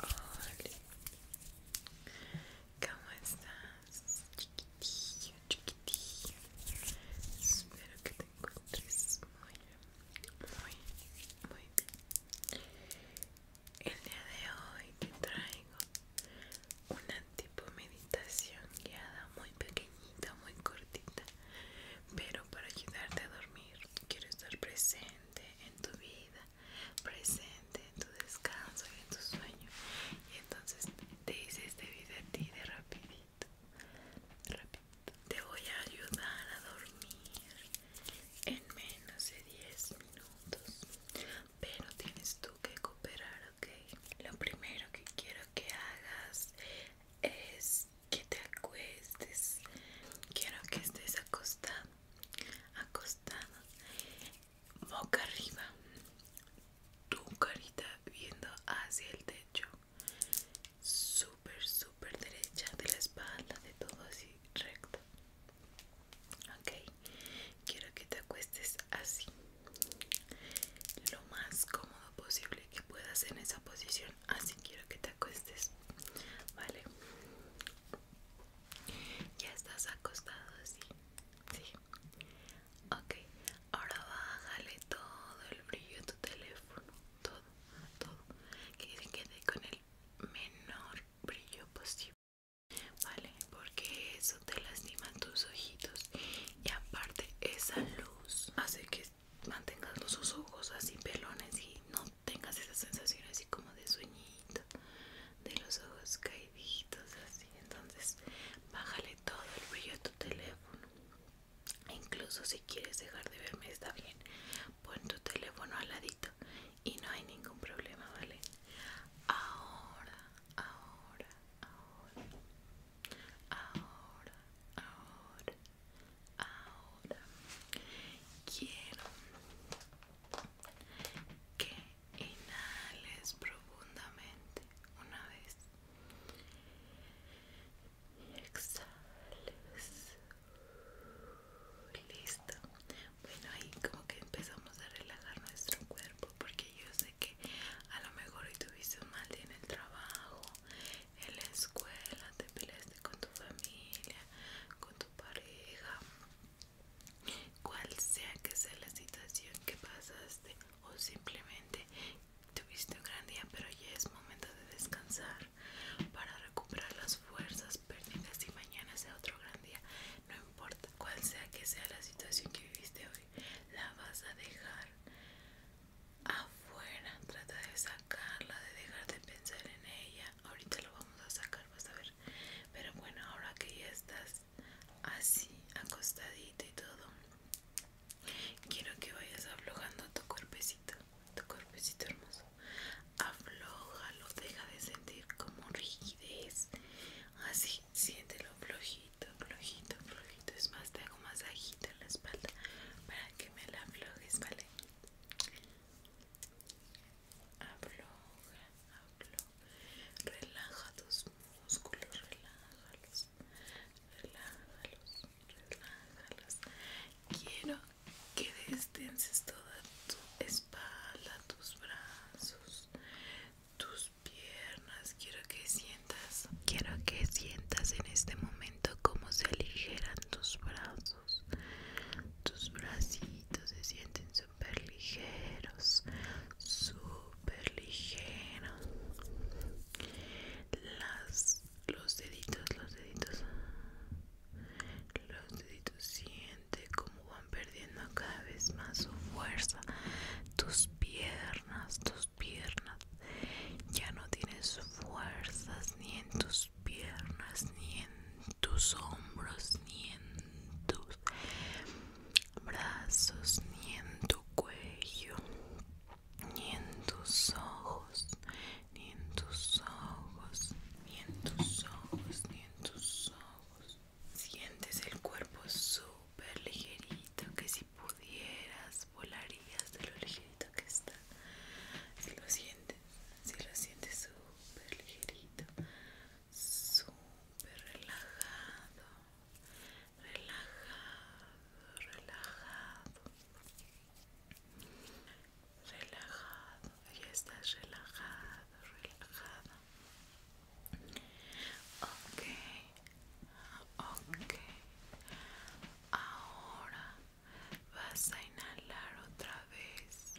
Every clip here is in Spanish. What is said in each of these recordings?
Olhe, olhe, como estás, chiquitinho, chiquitinho? Espero que te encontres muito, muito, muito El día de hoy te traigo una tipo meditación guiada muy pequeñita, muy cortita, pero para ayudarte a dormir. Quiero estar presente en tu vida, presente en tu descanso y en tu sueño. Y entonces te hice este video a ti de rapidito. Te voy a ayudar a dormir en menos de 10 minutos pero tienes tú que cooperar ok lo primero que quiero que hagas es que te acuestes quiero que estés acostado acostado boca arriba tu carita viendo hacia el techo súper súper derecha de la espalda de todo así recto ok quiero que te acuestes así lo más cómodo posible que puedas en esa posición así quiero que te acuestes vale ya estás acostado así sí ok ahora bájale todo el brillo a tu teléfono todo todo que se quede con él menor brillo posible vale porque eso te lastima tus ojitos y aparte esa luz hace que mantengas los ojos así pelones y no tengas esa sensación así como de sueñito de los ojos caíditos así entonces bájale todo el brillo a tu teléfono incluso si quieres dejar de verme está bien pon tu teléfono al ladito y no hay ningún problema, ¿vale? Ahora, ahora, ahora, ahora, ahora, ahora. Quiero que inhales profundamente una vez. Y exhales Listo. Bueno, ahí como que empezamos a relajar nuestro cuerpo porque yo sé que a lo mejor hoy tuviste un mal día en el trabajo, en la escuela, te peleaste con tu familia, con tu pareja, cual sea que sea la situación que pasaste o simplemente tuviste un gran día, pero ya es momento de descansar para recuperar las fuerzas perdidas y mañana sea otro gran día. No importa cuál sea que sea la situación que viviste hoy, la vas a dejar afuera. Trata de sacarla, de dejar de pensar en ella. Ahorita lo vamos a sacar, vas a ver. Pero bueno, ahora que ya estás así, acostadita y todo, Quiero que vayas aflojando tu cuerpecito, tu cuerpecito hermoso. Aflójalo, deja de sentir como rigidez. Así, siéntelo flojito, flojito, flojito. Es más, te hago masajito en la espalda para que me la aflojes, ¿vale? Afloja, afloja. Relaja tus músculos, relájalos, relájalos, relájalos, Quiero que destenses toda tu espalda, tus brazos, tus piernas. Quiero que sientas, quiero que sientas en este momento cómo se aligeran tus brazos. Tus bracitos se sienten súper ligeros, súper ligeros. Las los deditos, los deditos, los deditos, siente como van perdiendo cada vez más su fuerza, tus piernas, tus piernas, ya no tienes fuerzas ni en tus piernas, ni en tus hombros, ni en tus brazos, ni en tu cuello ni en tus ojos, ni en tus ojos, ni en tus ojos, ni en tus ojos. Sientes el cuerpo súper ligerito que si pudieras volarías de lo ligerito que está. Si lo sientes, si lo sientes súper ligerito, súper relajado, relajado, relajado, relajado, ya estás relajado, relajado. Ok, ok, ahora vas a inhalar otra vez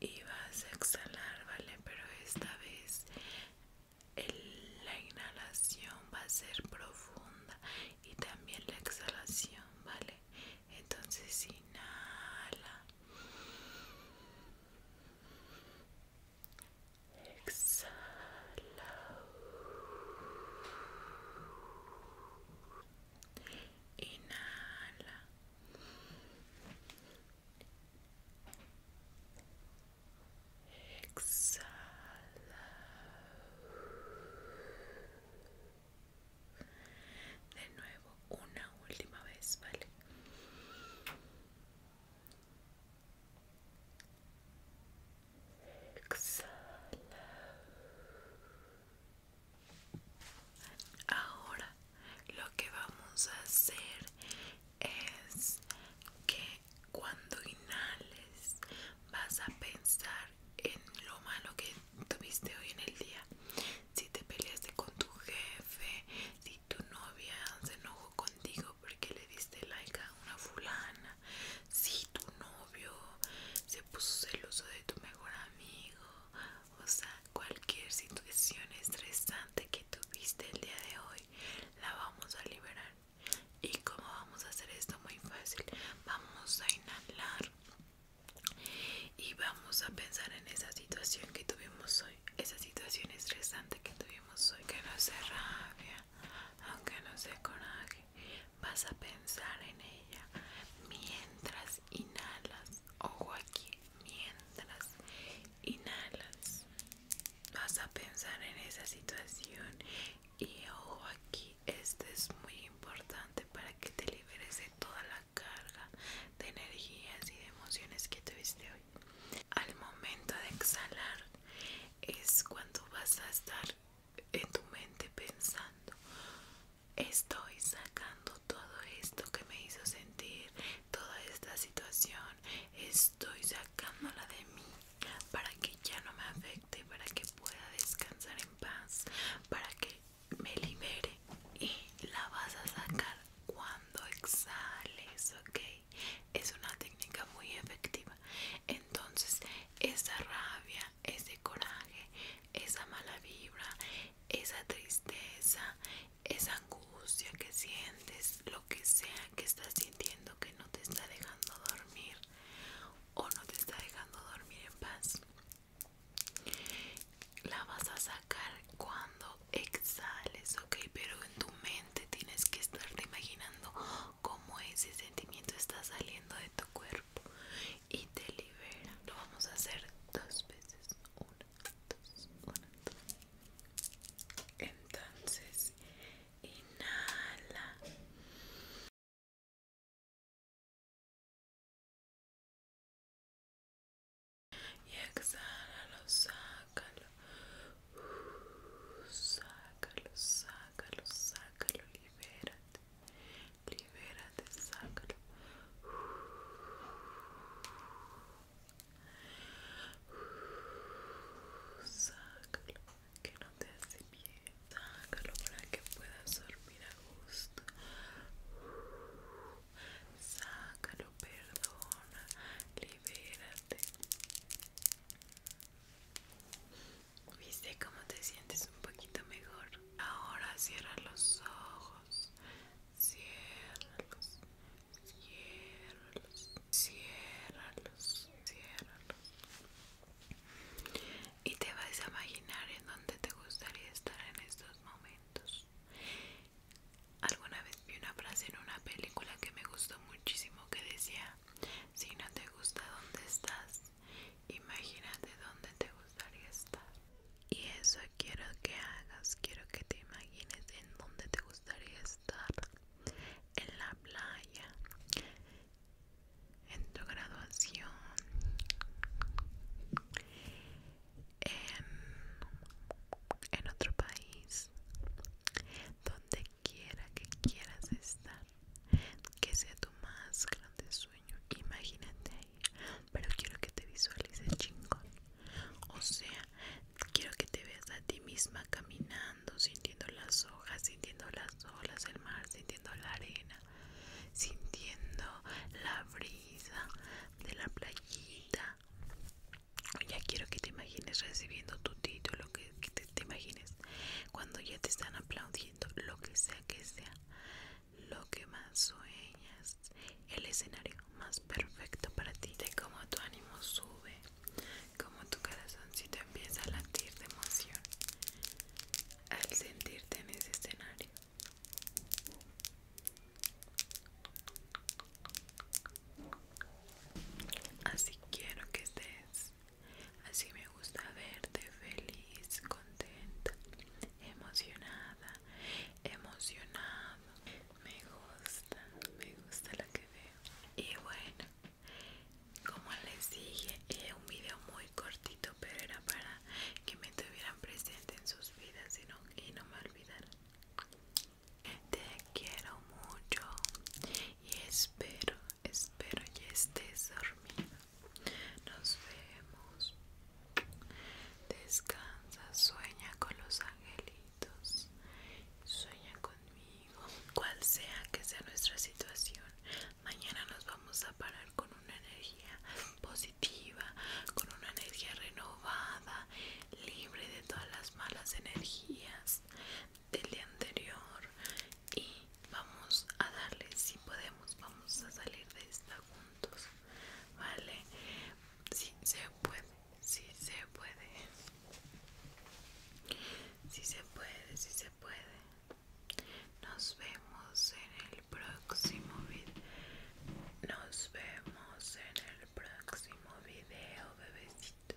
y vas a exhalar, vale, pero esta vez la inhalación va a ser profunda y también la exhalación, ¿vale? Entonces inhala. Exhala. Inhala. Exhala. De nuevo, una última vez, ¿vale? Exhala. Ahora lo que vamos a hacer es que cuando inhales vas a pensar en lo malo que tuviste hoy en el día. Si te peleaste con tu jefe, si tu novia se enojó contigo porque le diste like a una fulana, si tu novio se puso celoso de tu mejor amigo, o sea, cualquier situación estresante que tuviste el día de hoy, la vamos a liberar y como vamos a hacer esto muy fácil vamos a inhalar y vamos a pensar en esa situación que tuvimos hoy esa situación estresante que tuvimos hoy que no se rabia aunque no se coraje vas a pensar en ella mientras inhalas ojo aquí mientras inhalas vas a pensar en esa situación y ojo aquí esto es muy importante para que te liberes de toda la carga de energías y de emociones que tuviste hoy al momento de exhalar es cuando vas a estar en tu mente pensando estoy sacando todo esto que me hizo sentir toda esta situación es estoy sacándola de mí para que ya no me afecte, para que pueda descansar en paz, para que me libere y la vas a sacar cuando exhales, ¿ok? Es una técnica muy efectiva. Entonces, esa rabia, ese coraje, esa mala vibra, esa tristeza, esa angustia que sientes, lo que sea que estás sintiendo que no te está dejando dormir o no te está dejando dormir en paz, la vas a sacar cuando exhales, ok, pero en tu mente tienes que estarte imaginando cómo ese sentimiento está saliendo de tu cuerpo y te libera. Lo vamos a hacer dos veces. Uno. Entonces, inhala. Y exhala, lo sácalo. Uh, sácalo, sácalo, sácalo, libérate. Libérate, sácalo. Uh. Sácalo, que no te hace bien. Sácalo para que puedas dormir a gusto. Sácalo, perdona, libérate. ¿Viste cómo te sientes un poquito mejor? Ahora cierra los ojos ciérralos, ciérralos. Y te vas a imaginar en dónde te gustaría estar en estos momentos. Alguna vez vi una frase en una película que me gustó muchísimo que decía, si no te gusta dónde estás, imagínate dónde te gusta y eso quiero que hagas, quiero que te imagines en dónde te gustaría estar. En la playa, en tu graduación, en, en otro país, donde quiera que quieras estar, que sea tu más grande sueño. Imagínate pero quiero que te visualices chingón. O sea, quiero que te veas a ti misma caminando, sintiendo las hojas, sintiendo las olas, del mar, sintiendo la arena, sintiendo la brisa de la playita. Ya quiero que te imagines recibiendo tu título, que te imagines cuando ya te están aplaudiendo, lo que sea que sea lo que más sueñas, el escenario más perfecto para ti, de cómo tu ánimo sube, Como tu corazoncito empieza a latir de emoción al sentirte en ese escenario. Así quiero que estés, así me gusta verte feliz, contenta, emocionada, emocionado. Me gusta, me gusta lo que veo. Y bueno, como les dije, es un video muy cortito, pero era para que me tuvieran presente en sus vidas y no, y no me olvidaran. Te quiero mucho y espero, espero ya estés dormido. Nos vemos. Descansa, sueña con los angelitos. Sueña conmigo. Cual sea que sea nuestra situación, mañana nos vamos a parar con una energía positiva, con una energía renovada, libre de todas las malas energías del día anterior. Y vamos a darle, si podemos, vamos a salir de esta. ¿vale? si se puede, si se puede, Si se puede, si se puede. Nos vemos en el próximo video. Nos vemos en el próximo video, bebecito.